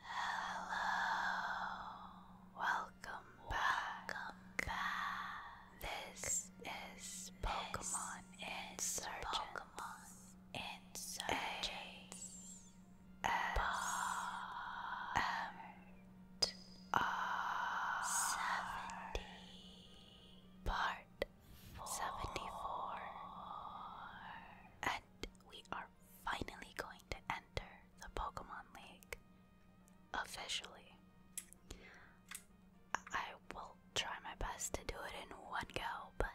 Hello, welcome, welcome back. back. This is Pokemon Insurgents. Pokemon seventy part seventy-four, and we are finally going to enter the Pokemon League officially. I will try my best to do it in one go, but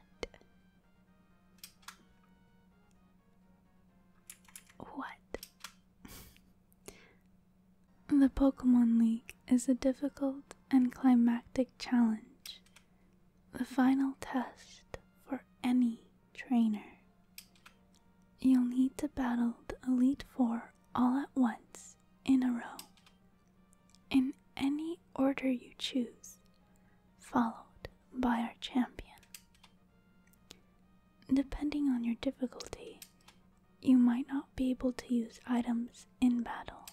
what? The Pokemon League is a difficult and climactic challenge, the final test for any trainer. You'll need to battle the Elite Four all at once in a row, in any order you choose, followed by our champion. Depending on your difficulty, you might not be able to use items in battle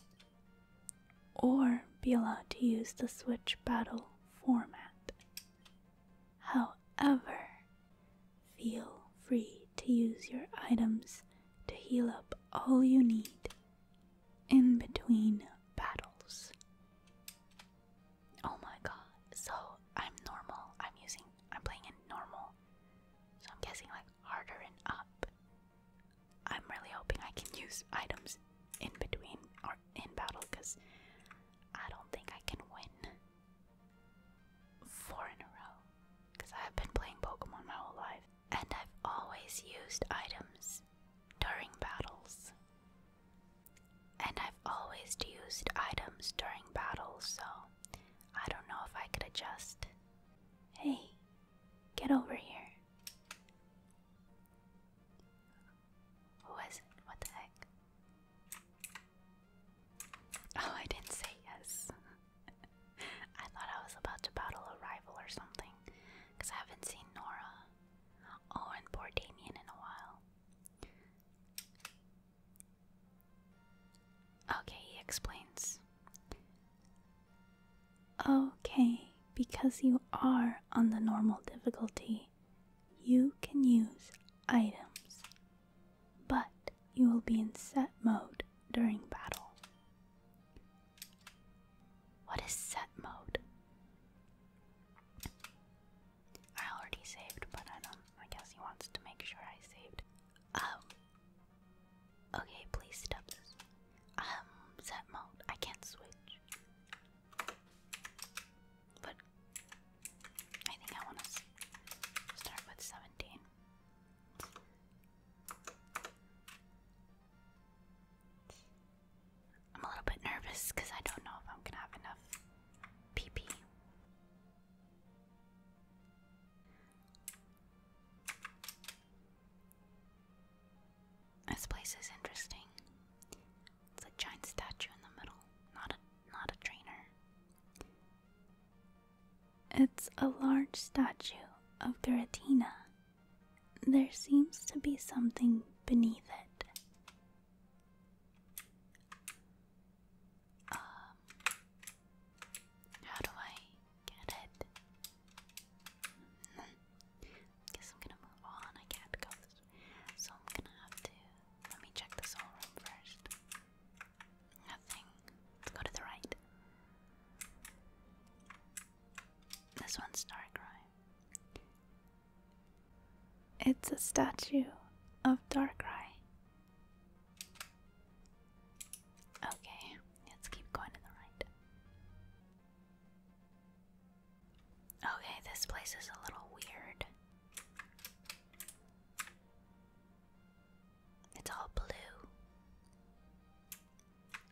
or be allowed to use the Switch battle format. However, feel free to use your items to heal up all you need in between battles. Oh my god, so I'm normal. I'm using, I'm playing in normal. So I'm guessing like harder and up. I'm really hoping I can use items in between or in battle because I don't think I can win four in a row. Because I have been playing Pokemon my whole life and I've always used items during battles. And I've always used items during battles, so I don't know if I could adjust. Hey, get over here. Who is it? What the heck? Oh, I didn't say yes. I thought I was about to battle a rival or something, because I haven't seen Nora. Oh, and poor Damien in a while. Okay, he explains. Okay, because you are on the normal difficulty, you can use items, but you will be in set mode during battle. What is set mode? I already saved, but I don't. I guess he wants to make sure I saved. Um. Okay, please stop this. Um, set mode. I can't switch. But I think I want to start with 17. I'm a little bit nervous because I don't know if I'm gonna have enough PP. This place is interesting. It's a giant statue in the middle, not a not a trainer. It's a large statue of Giratina. There seems to be something beneath it. Um, how do I get it? Hmm. Guess I'm gonna move on. I can't go so I'm gonna have to. Let me check this whole room first. Nothing. Let's go to the right. This one's dark, It's a statue of Darkrai Okay, let's keep going to the right. Okay, this place is a little weird. It's all blue.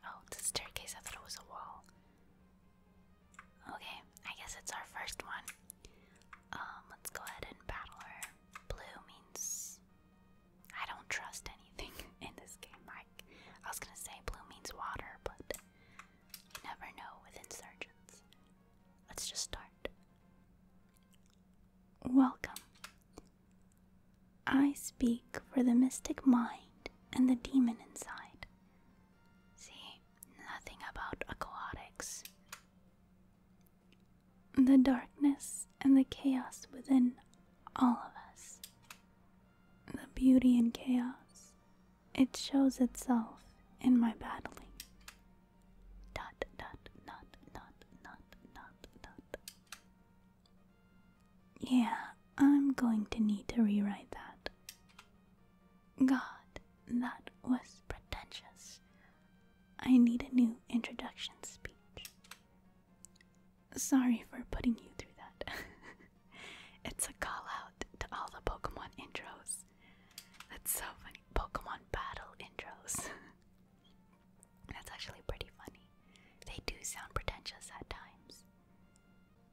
Oh, it's staircase. I thought it was a wall. Okay, I guess it's our first one. Um, let's go ahead and battle her. Blue means I don't trust anything in this game. I, I was gonna say blue means water, but you never know with insurgents. Let's just start. Welcome. I speak for the mystic mind and the demon inside. See, nothing about aquatics the darkness and the chaos within all of us. The beauty and chaos. It shows itself in my battling. Dot, dot, dot, dot, dot, dot, dot. Yeah, I'm going to need to rewrite that. God, that was pretentious. I need a new introduction speech. Sorry for putting you through that. it's a call out to all the Pokemon intros. That's so funny. Pokemon battle intros. That's actually pretty funny. They do sound pretentious at times.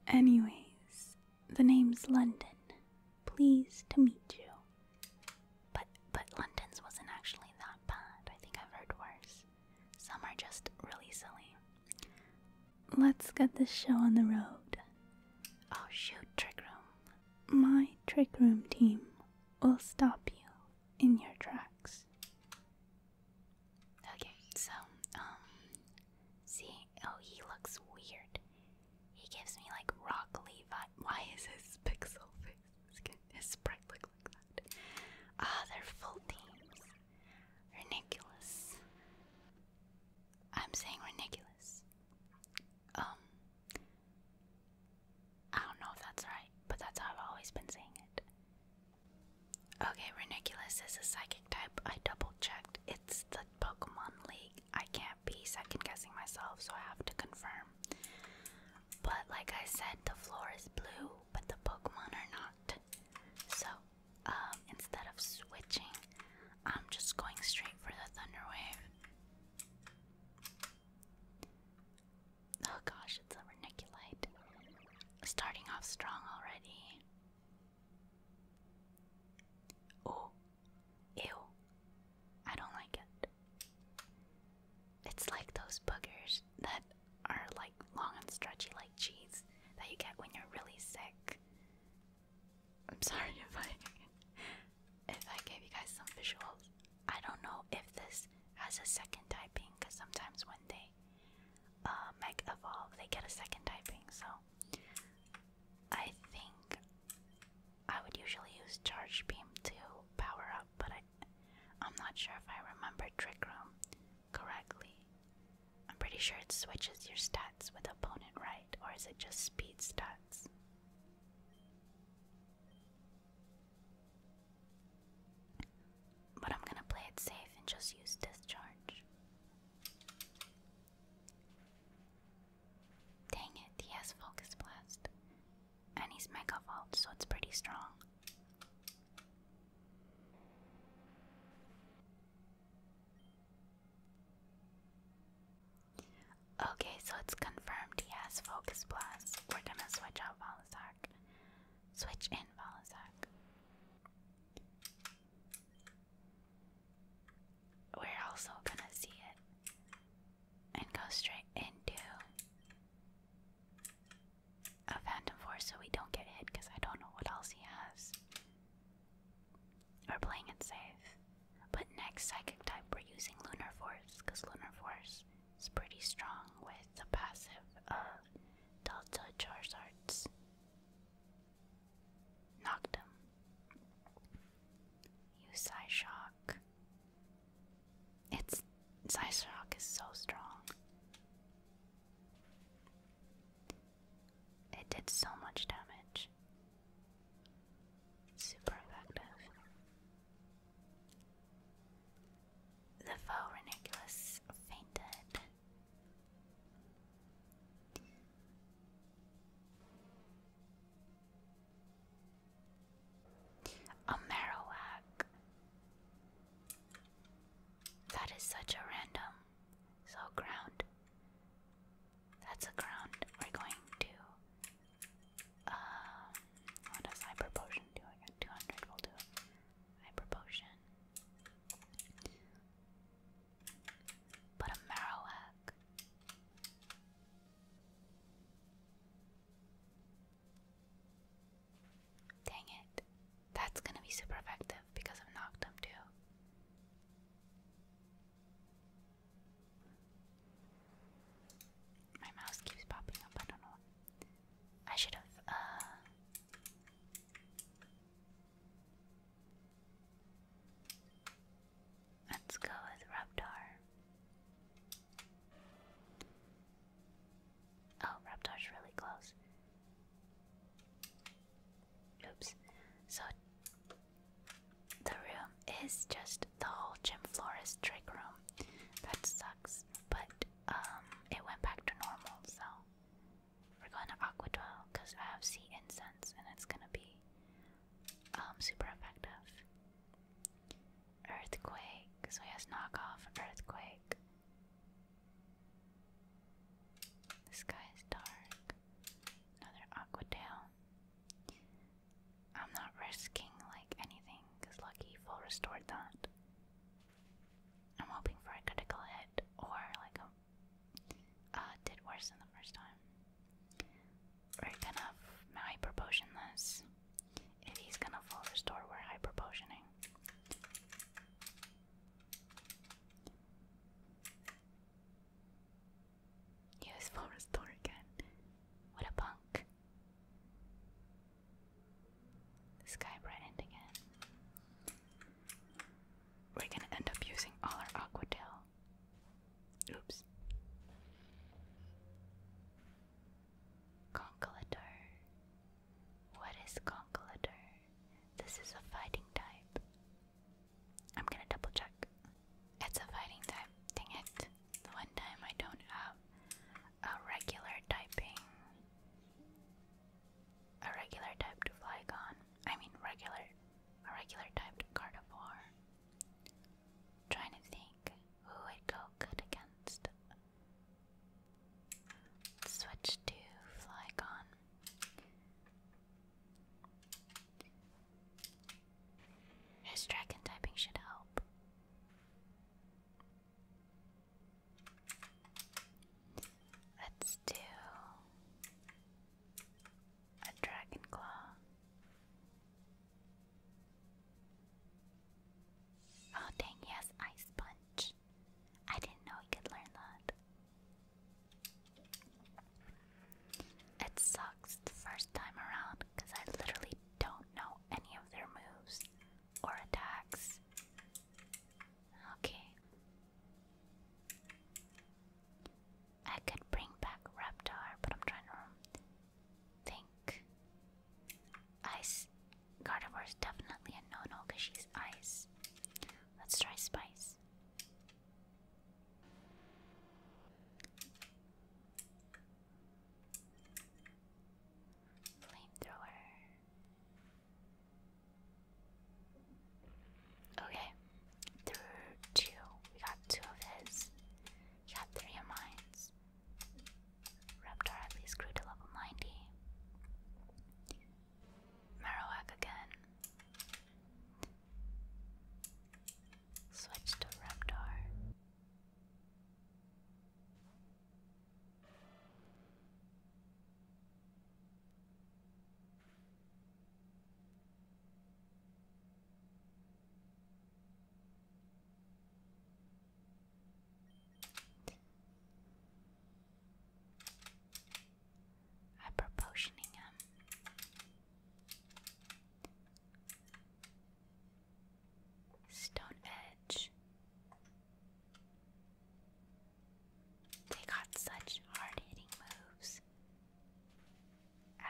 Anyways, the name's London. Pleased to meet you. But but London's wasn't actually that bad. I think I've heard worse. Some are just really silly. Let's get this show on the road. Oh shoot, Trick Room. My Trick Room team will stop you in your tracks. Okay, so, um, see, oh, he looks weird. He gives me like rock leaf. Why is his pixel face? his sprite looks Ah, they're full teams. Ridiculous. I'm saying ridiculous. Um, I don't know if that's right, but that's how I've always been saying it. Okay, Reniculus is a psychic type. I double checked. It's the Pokemon League. I can't be second guessing myself, so I have to confirm. But like I said, the floor is blue, but the Pokemon are not. So um, instead of switching, I'm just going straight for the Thunder Wave. Oh gosh, it's a Reniculite. Starting off strong already. Oh, ew. I don't like it. It's like those boogers that are like long and stretchy like cheese that you get when you're really sick. I'm sorry if I if I gave you guys some visuals. I don't know if this has a second typing because sometimes when they uh, evolve, they get a second typing. So I think I would usually use charge beam to power up, but I I'm not sure if I remember Trick Room correctly. I'm pretty sure it switches your stats with opponent, right? Or is it just speed stats? But I'm gonna play it safe and just use discharge. Dang it, he has focus blast. And he's Mega Vault, so it's pretty strong. Okay, so it's confirmed he has Focus Blast. We're gonna switch out Volisac. Switch in Volisac. We're also gonna see it and go straight into a Phantom Force so we don't get hit because I don't know what else he has. We're playing it safe. But next Psychic type, we're using Lunar Force because Lunar Force is pretty strong with the passive of uh, Delta Charizard's. Knocked him. Use Psy Shock. It's Size Rock is so strong. It did so much damage. Super effective. The foe fainted. A Marowak. That is such a random. So ground. That's a ground. We're going to. Um, what does hyper potion do? I 200. will do hyper potion. But a Marowak. Dang it. That's gonna be super effective because I've knocked him too. My mouse keeps popping up, I don't know. I should have, uh, Let's go with Raptor. Oh, Raptor's really close. Oops. So the room is just the whole gym florist trick room. That sucks. But um it went back to normal, so we're going to Aqua Dwell because I have sea incense and it's gonna be um super effective. Earthquake, so he has knockoff Earthquake. The sky is dark. Another Aqua Tail. I'm not risking like anything, because Lucky Full restored that. I'm hoping for a critical hit or like a uh, did worse than the first time. We're gonna if he's gonna full restore, we're hyper Use full restore again. What a punk. The sky brightened again. We're gonna end up using all our aqua tail. Oops. Conkelador. What is Conkelador? This is a fighting type. I'm gonna double check. It's a fighting type. Dang it. The one time I don't have a regular typing. A regular type to Flygon. I mean regular a regular type to Gardevoir. Trying to think who would go good against Switch to Flygon. His dragon typing should help. Let's do a dragon claw. Oh dang, Yes, ice punch. I didn't know he could learn that. It sucks the first time around because I literally don't know any of their moves or attacks. Okay. I could bring back Raptor, but I'm trying to think. Ice. Gardevoir is definitely a no-no because she's ice. Let's try Spice. Flamethrower. Okay. Through two. We got two of his. We got three of mine's. Raptor at least grew to level 90. Marowak again. Switch to Raptor i proportioning Stone Edge. They got such hard hitting moves,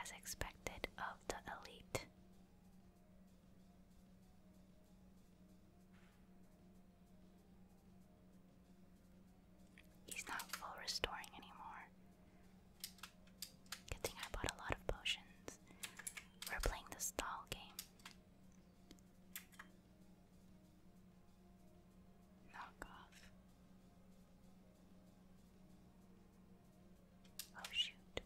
as expected of the elite. He's not full restoring anymore. Good I bought a lot of potions. We're playing the stall game. Knock off. Oh shoot.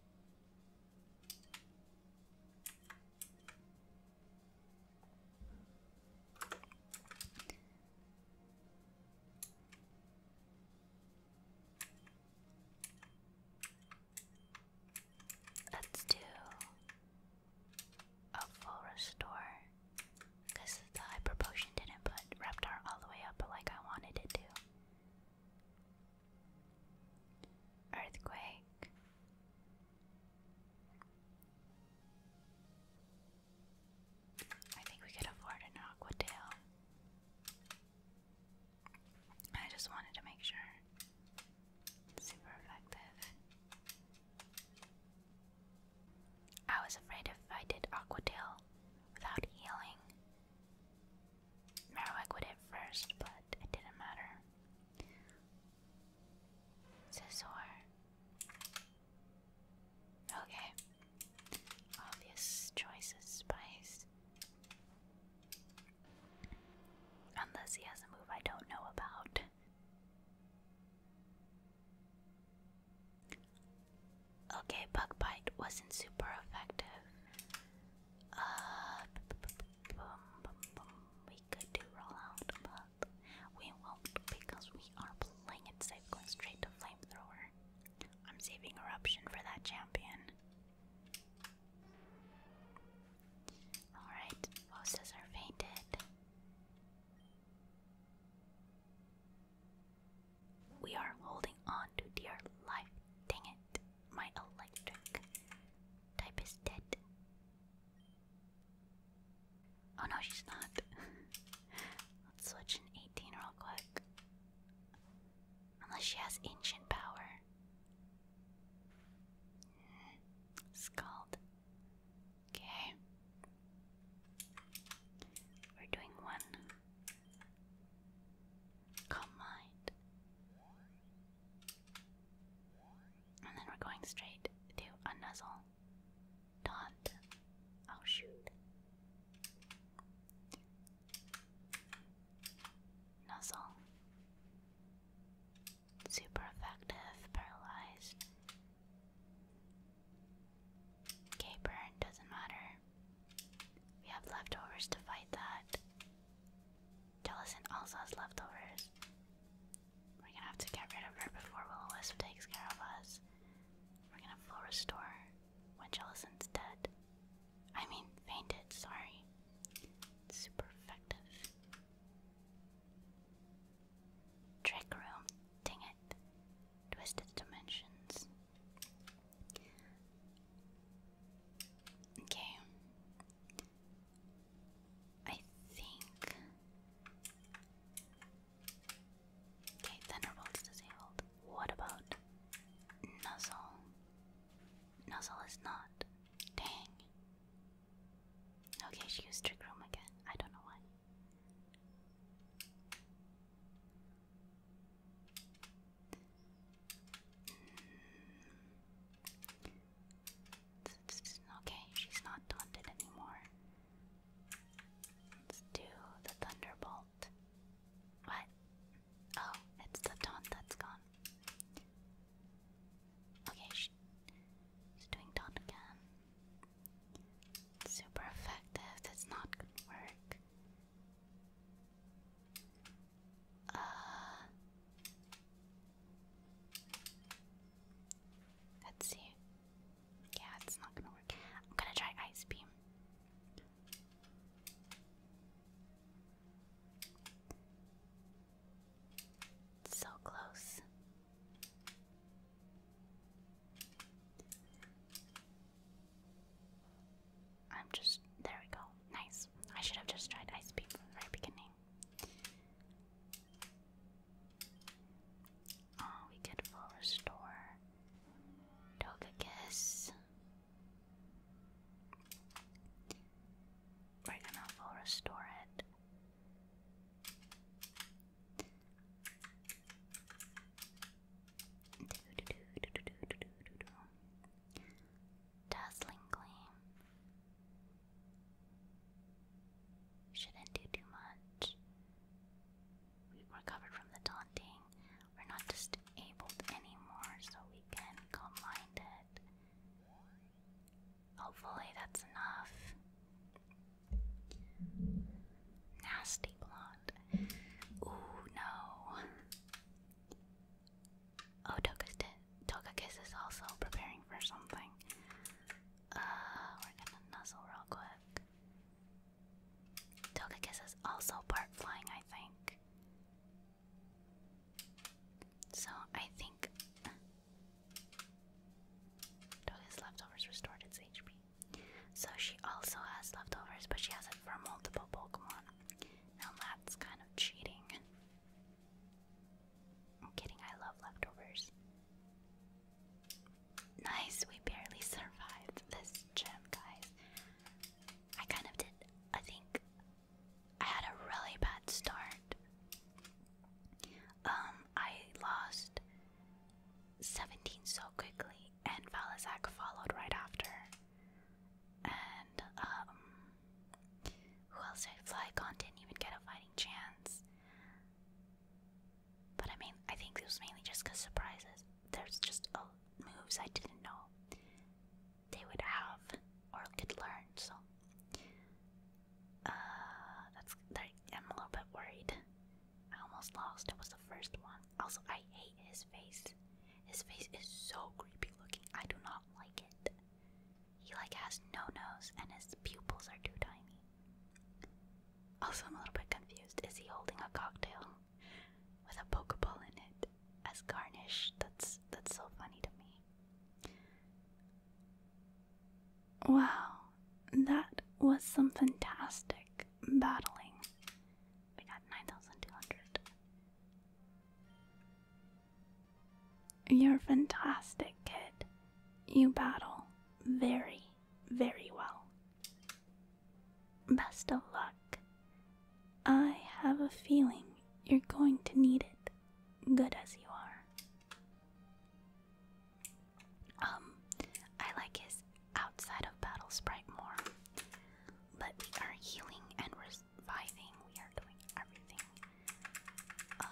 Let's do a full restore because the hyper potion didn't put Reptar all the way up like I wanted it to. Earthquake. I think we could afford an aqua tail. I just wanted to make sure. super effective. I was afraid if I did aqua tail without healing, Marowak would hit first, but it didn't matter. Scizor. Okay. Obvious choices, Spice. Unless he has a move I don't know about. Okay, bug bite wasn't super effective. Uh, we could do rollout, but we won't because we are playing it safe, going straight to flamethrower. I'm saving eruption for that champion. Alright, bosses are fainted. We are holding on to dear life. Dang it, my electric type is dead. Oh no, she's not. Let's switch an 18 real quick. Unless she has ancient power. Mm, Okay. We're doing one. Calm mind. And then we're going straight to a nuzzle. Taunt. Oh shoot. Nuzzle. Super effective, paralyzed. Okay, burn, doesn't matter. We have leftovers to fight that. Jellison also has leftovers. We're gonna have to get rid of her before Willow Wisp takes care of us. We're gonna full restore when Jellison's dead. I mean, fainted, sorry. super effective. Trick room, dang it. Twisted dimensions. Okay. I think. Okay, Thunderbolt's disabled. What about Nuzzle? Nuzzle is not. Dang. Okay, she used Trick Room again. I don't know why. Hmm. Okay, she's not taunted anymore. Let's do the Thunderbolt. What? Oh, it's the taunt that's gone. Okay, she's doing taunt again. super effective, that's not gonna work. Uh Let's see. Yeah, it's not gonna work. I'm gonna try Ice Beam. so close. I'm just. There we go. Nice. I should have just tried Ice Beam from the very beginning. Oh, we could full restore Togekiss. We're gonna full restore it. Dazzling Gleam shouldn't do too much. We've recovered from the taunting. We're not disabled anymore, so we can combine it. Hopefully, that's enough. Nasty blonde. Ooh, no. Oh, Toka, Toka is also preparing for something. Uh, we're gonna nuzzle real quick. Togekiss is also part flying, I think. So I think Togekiss leftovers restored its HP. So she also has leftovers, but she has it for multiple Pokemon. Now that's kind of cheating i kidding, I love leftovers. Nice, we barely survived this gym, guys. I kind of did, I think I had a really bad start. Um, I lost 17 so quickly, and Valazak followed right after. And, um, who else did Flycon? Didn't even get a fighting chance. But I mean, I think it was mainly just because surprises. There's just oh, moves I didn't know they would have or could learn. So uh, that's I'm a little bit worried. I almost lost. It was the first one. Also, I hate his face. His face is so creepy looking. I do not like it. He like has no nose and his pupils are too tiny. Also, I'm a little bit confused. Is he holding a cocktail with a pokeball in it as garnish? That's that's so funny to me. Wow, that was some fantastic battling. We got nine thousand two hundred. You're fantastic, kid. You battle very, very well. Best of luck. I have a feeling you're going to need it, good as you are. Um, I like his outside of battle sprite more, but we are healing and reviving. We are doing everything. Um,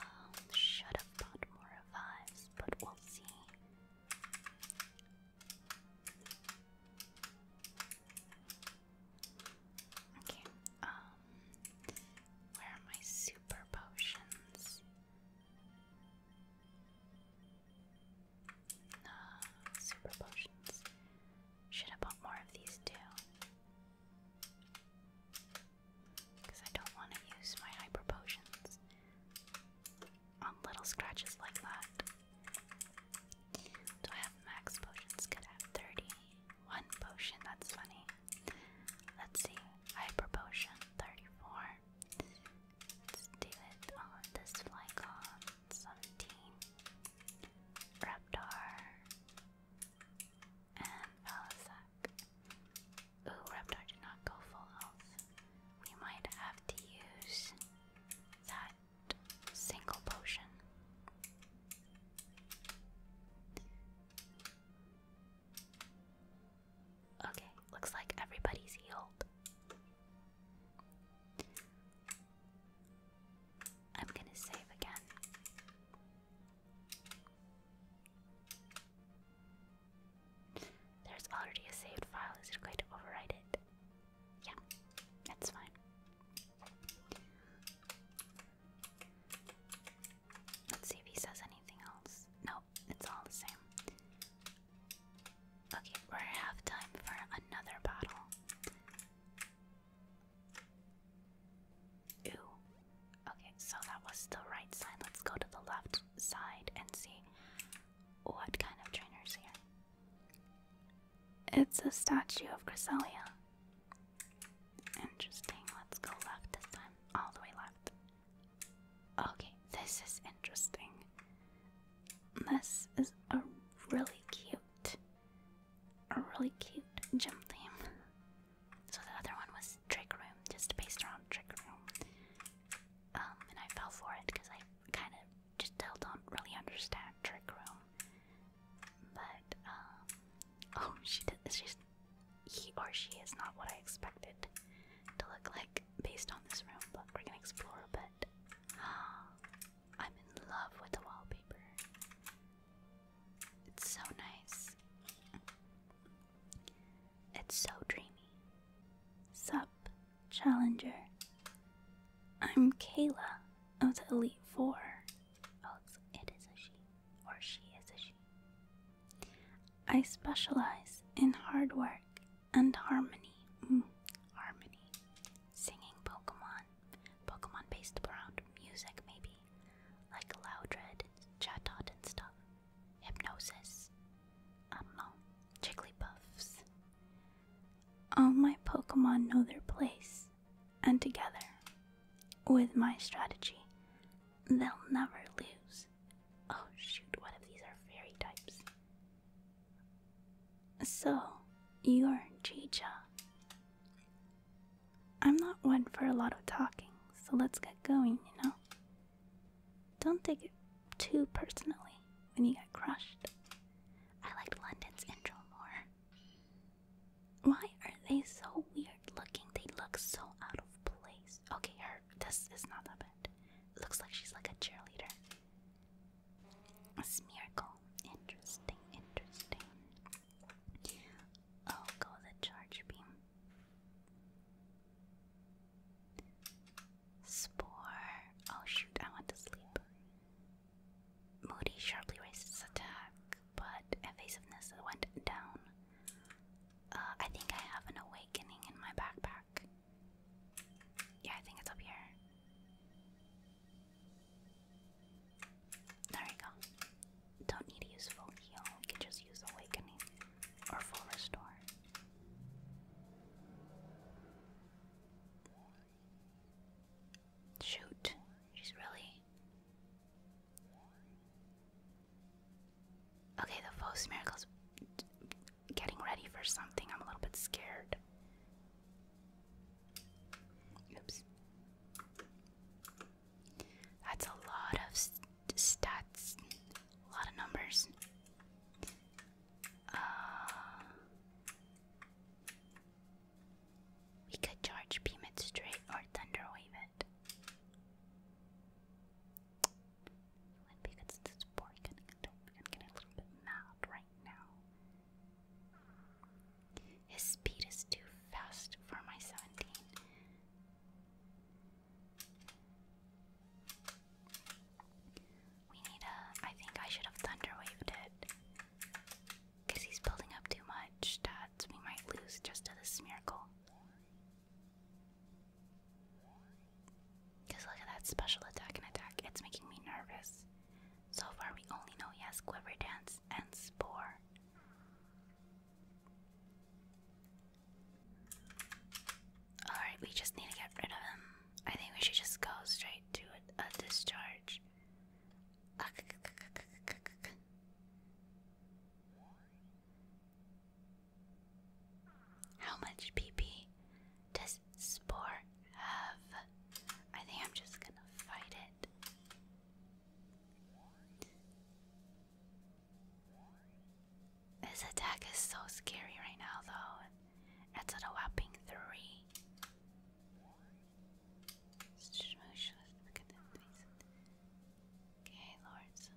should have bought more revives, but we'll see. Okay, um, where are my super potions? super potions. Should have bought more of these too. Because I don't want to use my hyper potions on little scratches like that. Do I have max potions? Could have 31 potion, that's funny. Let's see, hyper potion 34. Let's do it on this Flycon 17. Raptor and Palisac. Ooh, Reptar did not go full health. We might have to use that single potion. Okay, looks like everybody's healed. I'm gonna save again. There's already a saved file. Is it going to overwrite it? Yeah, that's fine. Let's see if he says anything else. No, it's all the same. Okay, we're half time for another battle. Ooh, Okay, so that was the right side. Let's go to the left side and see what kind of trainer's here. It's a statue of Cresselia. Interesting. Let's go left this time. All the way left. Okay, this is interesting. This is a really cute, a really cute gym theme. So the other one was Trick Room, just based on Trick Room. Um, and I fell for it because I kind of just still don't really understand Trick Room. But um, oh, she did. She's he or she is not what I expected to look like based on this room. But we're gonna explore a I'm in love with the wallpaper. It's so nice. It's so dreamy. Sup, Challenger. I'm Kayla of the Elite Four. Oh, it is a she, or she is a she. I specialize in hard work and harmony. Mm, harmony. Singing Pokemon. Pokemon based around music, maybe. Like Loudred and Chatot and stuff. Hypnosis. I um, don't know. Jigglypuffs. All my Pokemon know their place, and together, with my strategy, they'll never lose. Oh shoot, one of these are fairy types? So, you're Chicha. I'm not one for a lot of talking, so let's get going, you know? Don't take it too personally when you get crushed. I liked London's intro more. Why are they so weird looking? They look so out of place. Okay, her this is not that bad. looks like she's like a cheerleader. A smeargle. Interesting, interesting. Oh, go the charge beam. Spore. Oh shoot, I went to sleep. Moody sharply raises attack, but evasiveness went down. Uh, I think I have an awakening in my backpack. Yeah, I think it's up here. There we go. Don't need a useful heal, we can just use awakening or full restore. Shoot, she's really. Okay, the false miracle's getting ready for something. I'm a little bit scared. Oops. That's a lot of stats. A lot of numbers. Uh, we could charge beam it straight or thunderwave it. Would be good since it's I'm getting a little bit mad right now. His speed is too fast for my 17. We need a. I think I should have thunderwaved it. Because he's building up too much stats. We might lose just to this miracle. Because look at that special attack and attack. It's making me nervous. So far, we only know he has Quiver Dance and Spore. Alright, we just need to get rid of him. I think we should just go straight to a, discharge. How much PP does Spore have? I think I'm just gonna fight it. This attack is so scary right now, though. It's at a whopping three. Okay, lords.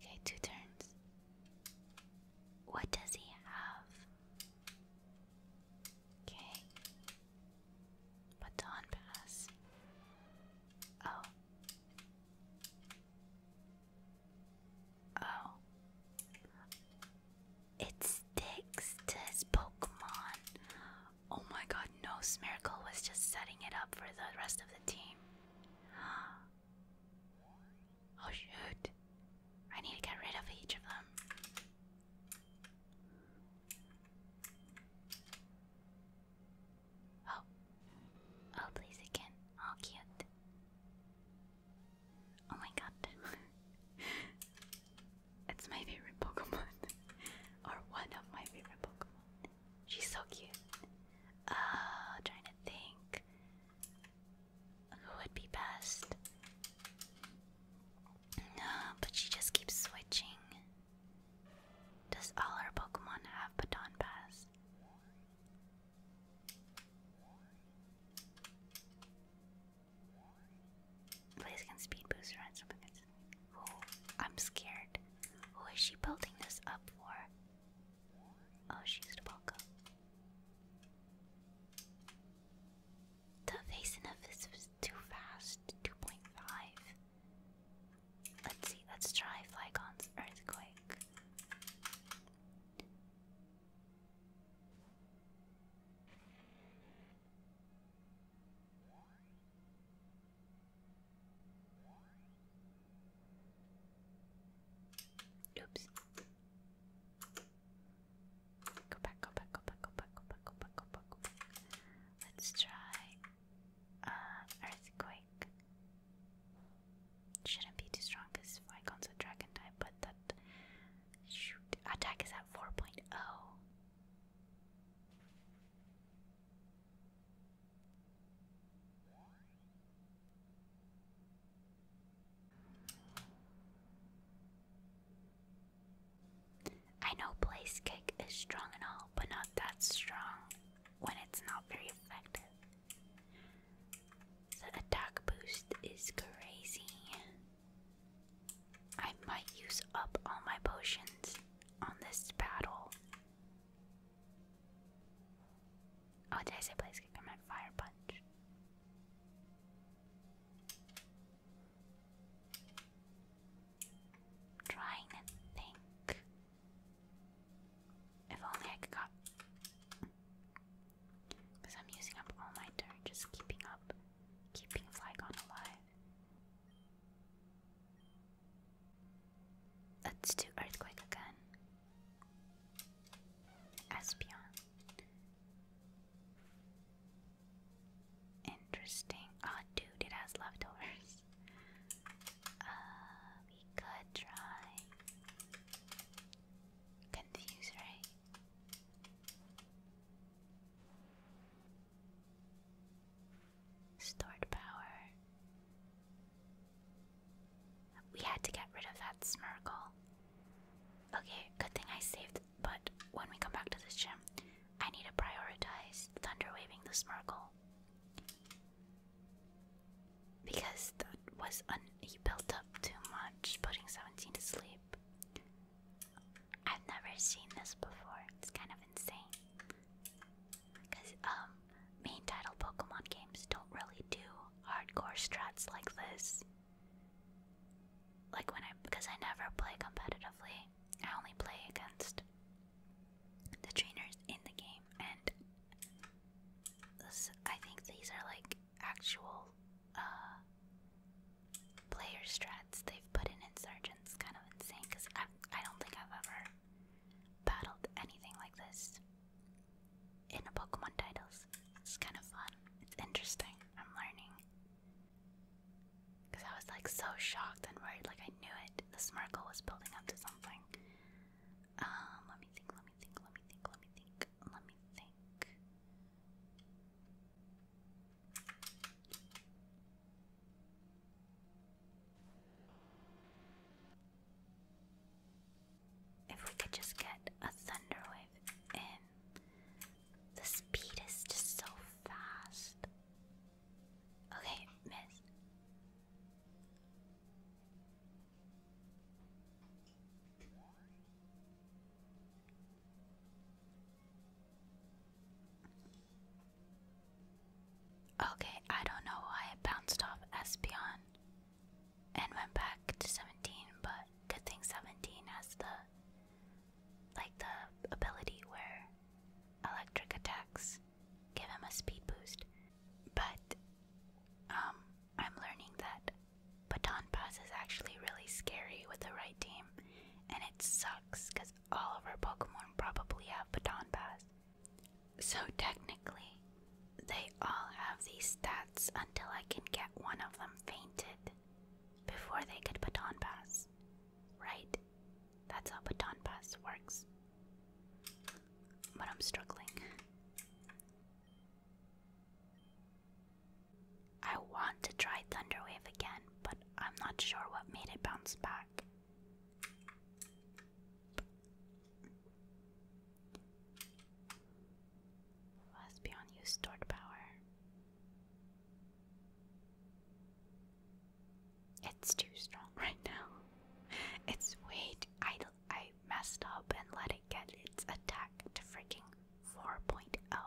Okay, two turns. What does he have? Okay. Baton pass. Oh, Oh. It sticks to Pokemon. Oh my god, no, Smirkle was just setting it up for the rest of the team. Oh shoot. I need to get rid of each of them. Oh. Oh, please again. Oh, cute. Oh my god. it's my favorite Pokemon. or one of my favorite Pokemon. She's so cute. Uh, trying to think. Who would be best? No, but she just keeps switching. Does all our Pokemon have Baton Pass? Please can speed boost run something. I'm scared. Who is she building this up for? Oh, she's the Boko. The face enough is too fast. 2.5. Let's see, let's try Flygon's Earthquake. Oops. Go back, go back, go back, go back, go back, go back, go back, go back. Let's try uh, earthquake. Shouldn't be too strong because Flygon's a dragon type, but that shoot attack is at 4.0. I know place kick is strong and all, but not that strong when it's not very effective. The attack boost is crazy. I might use up all my potions on this battle. Oh, did I say place kick? fire punch. trying to think. If only I could Because I'm using up all my dirt just keeping up, keeping Flygon alive. Let's do Earthquake again. Espeon. Interesting. Oh, dude, it has leftovers we um, could try confuse, right? Stored power. We had to get rid of that Smirgle. Okay, good thing I saved, but when we come back to this gym, I need to prioritize Thunder Waving the Smirgle. Because that was he built up too much, putting 17 to sleep. I've never seen this before. It's kind of insane. Because um, main title Pokemon games don't really do hardcore strats like this. Like when I, because I never play competitively, I only play against the trainers in the game and I think these are like actual uh, player strats they've put in Insurgents. Kind of insane because I I don't think I've ever battled anything like this in a Pokemon titles. It's kind of fun. It's interesting. I'm learning. Cause I was like so shocked and worried, like I knew it. The Smirkle was building up to something, um, let me think, let me think, let me think, let me think, let me think. If we could just get a thunderwave in. The speed is just so fast. Okay, miss. Okay, I don't know why it bounced off Espeon and went back to 17, but good thing 17 has the like the ability where electric attacks give him a speed boost. But um, I'm learning that baton pass is actually really scary with the right team, and it sucks because all of our Pokemon probably have baton pass. So technically, they all have these stats until I can get one of them fainted before they could baton pass. Right? That's how baton pass works. But I'm struggling. I want to try Thunderwave again, but I'm not sure what made it bounce back. Last beyond you stored power. It's too strong right now. It's way too, I I messed up and let it get its attack to freaking 4.0.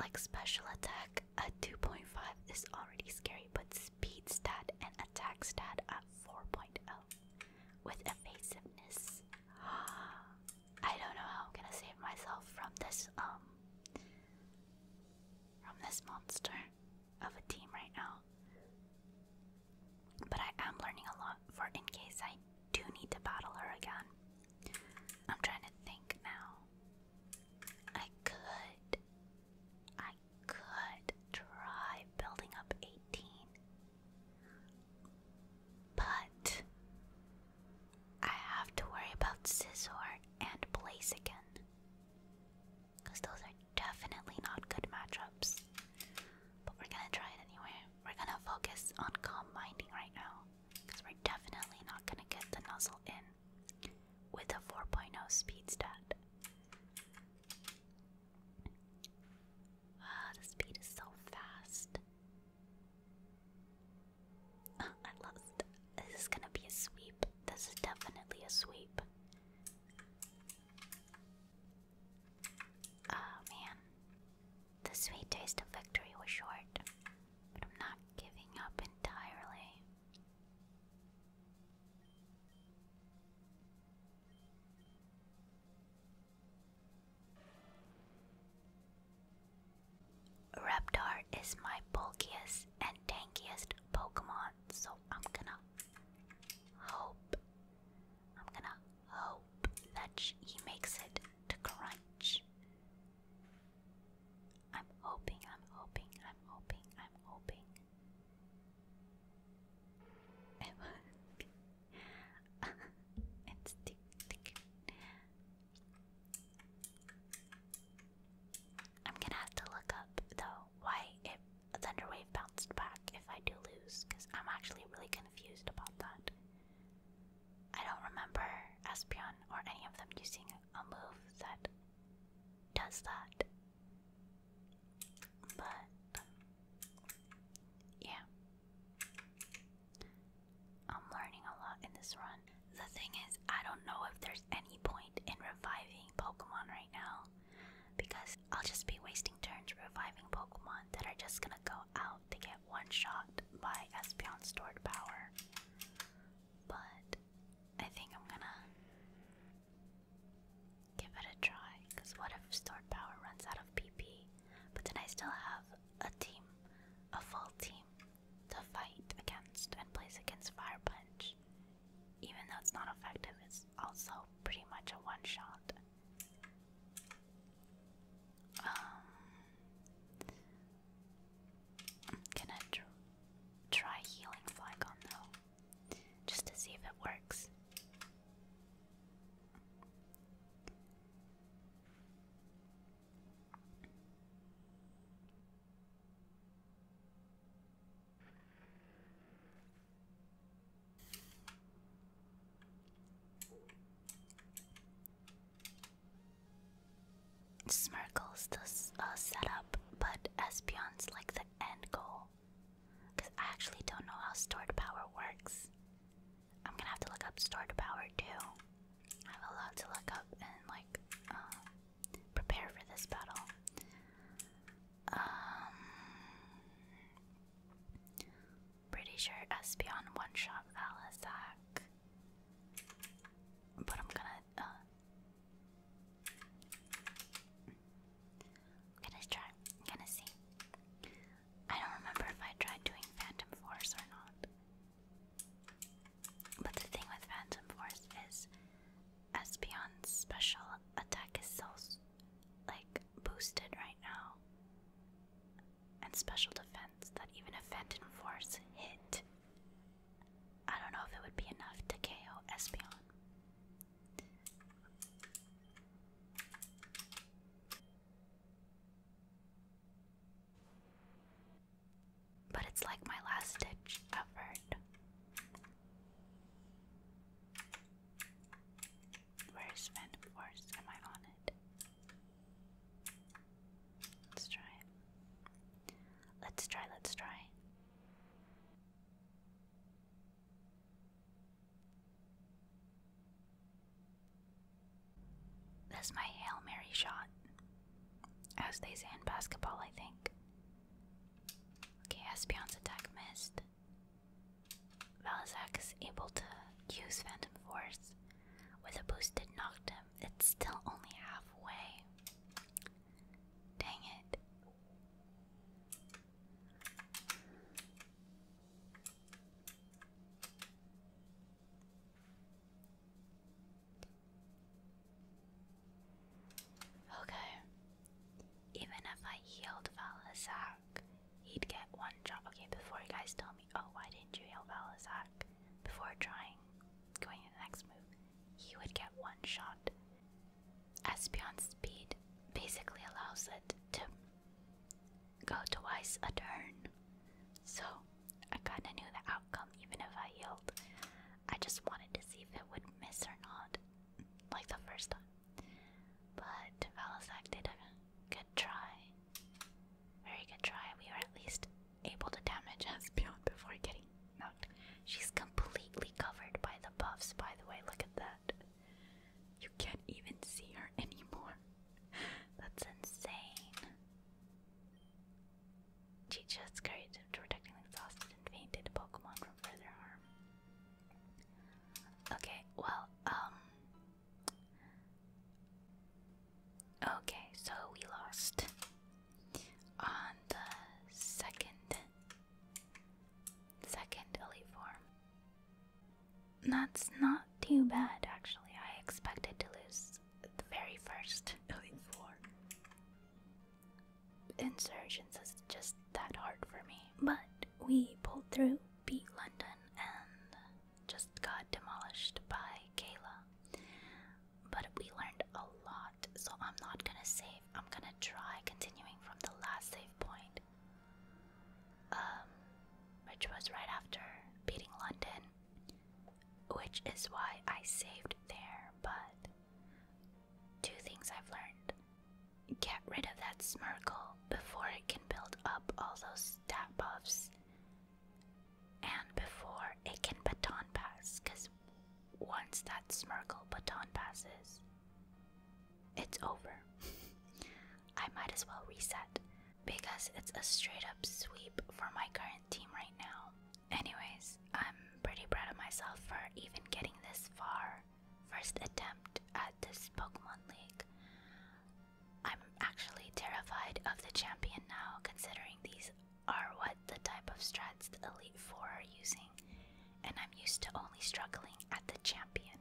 Like special attack at 2.5 is already scary, but speed stat and attack stat at 4.0 with evasiveness. I don't know how I'm gonna save myself from this um from this monster of a team right now. But I am learning a lot for in case I do need to battle her again. I'm trying to think now. I could. I could try building up 18. But. I have to worry about Scizor and Blaze again. Because those are definitely not good matchups. But we're gonna try it anyway. We're gonna focus on combining right now. Because we're definitely not gonna get the nuzzle in with a 4.0 speed stat. Ah, the speed is so fast. I lost. This is gonna be a sweep. This is definitely a sweep. Oh man, the sweet taste of victory was short, but I'm not giving up entirely. Reptar is my bulkiest and tankiest Pokemon, so I'm gonna Hope. I'm gonna hope that he makes it to crunch. I'm hoping, I'm hoping, I'm hoping, I'm hoping. it's tick, tick. I'm gonna have to look up the why if a Thunderwave bounced back if I do lose, because I'm actually really confused about that. I don't remember Espeon or any of them using a move that does that. But, yeah. I'm learning a lot in this run. The thing is, I don't know if there's any point in reviving Pokemon right now because I'll just be wasting turns reviving Pokemon that are just gonna go out to get one shot by Espeon's stored power. But I think I'm gonna give it a try, because what if stored power runs out of PP? But then I still have a team, a full team, to fight against and place against Fire Punch. Even though it's not effective, also pretty much a one shot. Um, can I try healing Flygon though, just to see if it works? Smirkle's the uh, setup, but Espion's like the end goal. Because I actually don't know how stored power works. I'm gonna have to look up stored power too. I have a lot to look up and like uh, prepare for this battle. Um, pretty sure Espeon one shot Alizac, but I'm gonna. Uh, I'm gonna try. I'm gonna see. I don't remember if I tried doing Phantom Force or not. But the thing with Phantom Force is Espeon's special attack is so like boosted right now. And special defense that even if Phantom Force hit, I don't know if it would be enough to KO Espeon. But it's like my last ditch effort. Where's Vent Force? Am I on it? Let's try. Let's try, let's try. That's my Hail Mary shot. As they say in basketball, I think. Okay, Espeon's attack missed. Valzak is able to use Phantom Force. With a boosted Noctum, it's still only halfway. Dang it. Okay. Even if I healed Valazak, he'd get one drop. Okay, before you guys tell me, oh, why didn't you heal Valazak? Before trying, going to the next move, he would get one shot. Espion speed basically allows it to go twice a turn. So I kinda knew the outcome even if I healed. I just wanted to see if it would miss or not like the first time. But Valisac did good try. Very good try. We were at least able to damage Espeon before getting knocked. She's completely covered by the buffs, by the way. Look at that. You can't even see her anymore. That's insane. Chicha's courage of protecting exhausted and fainted Pokemon from further harm. Okay, well, um, Okay, so we lost on the second second elite form. That's not too bad actually. I expected to lose the very first elite form. Insurgents is just that hard for me, but we pulled through, beat London, and just got demolished by Kayla. But we learned a lot, so I'm not gonna save. I'm gonna try continuing from the last save point, um, which was right after beating London, which is why I saved there. But two things I've learned Get rid of that smirkle before it can build up all those stat buffs. And before it can baton pass, because once that smirkle baton passes, it's over. I might as well reset because it's a straight up sweep for my current team right now. Anyways, I'm pretty proud of myself for even getting this far first attempt at this Pokemon League. I'm actually terrified of the champion now, considering these are what the type of strats the Elite Four are using, and I'm used to only struggling at the champion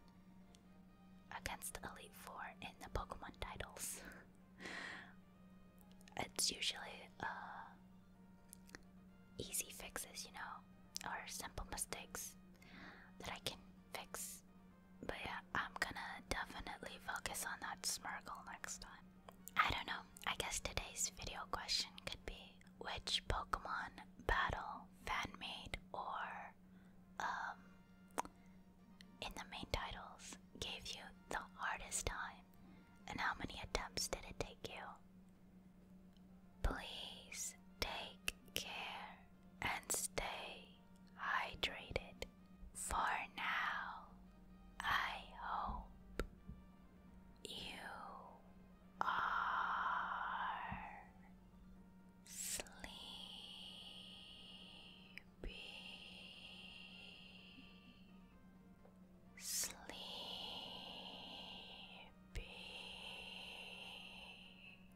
against the Elite Four in the Pokemon titles. it's usually uh, easy fixes, you know or simple mistakes that I can fix. But yeah, I'm gonna definitely focus on that Smirgle next time. I don't know, I guess today's video question could be which Pokemon battle, fan made, or um, in the main titles gave you the hardest time, and how many attempts did it take you? Please take care and stay hydrated. For now, I hope you are sleepy. Sleepy.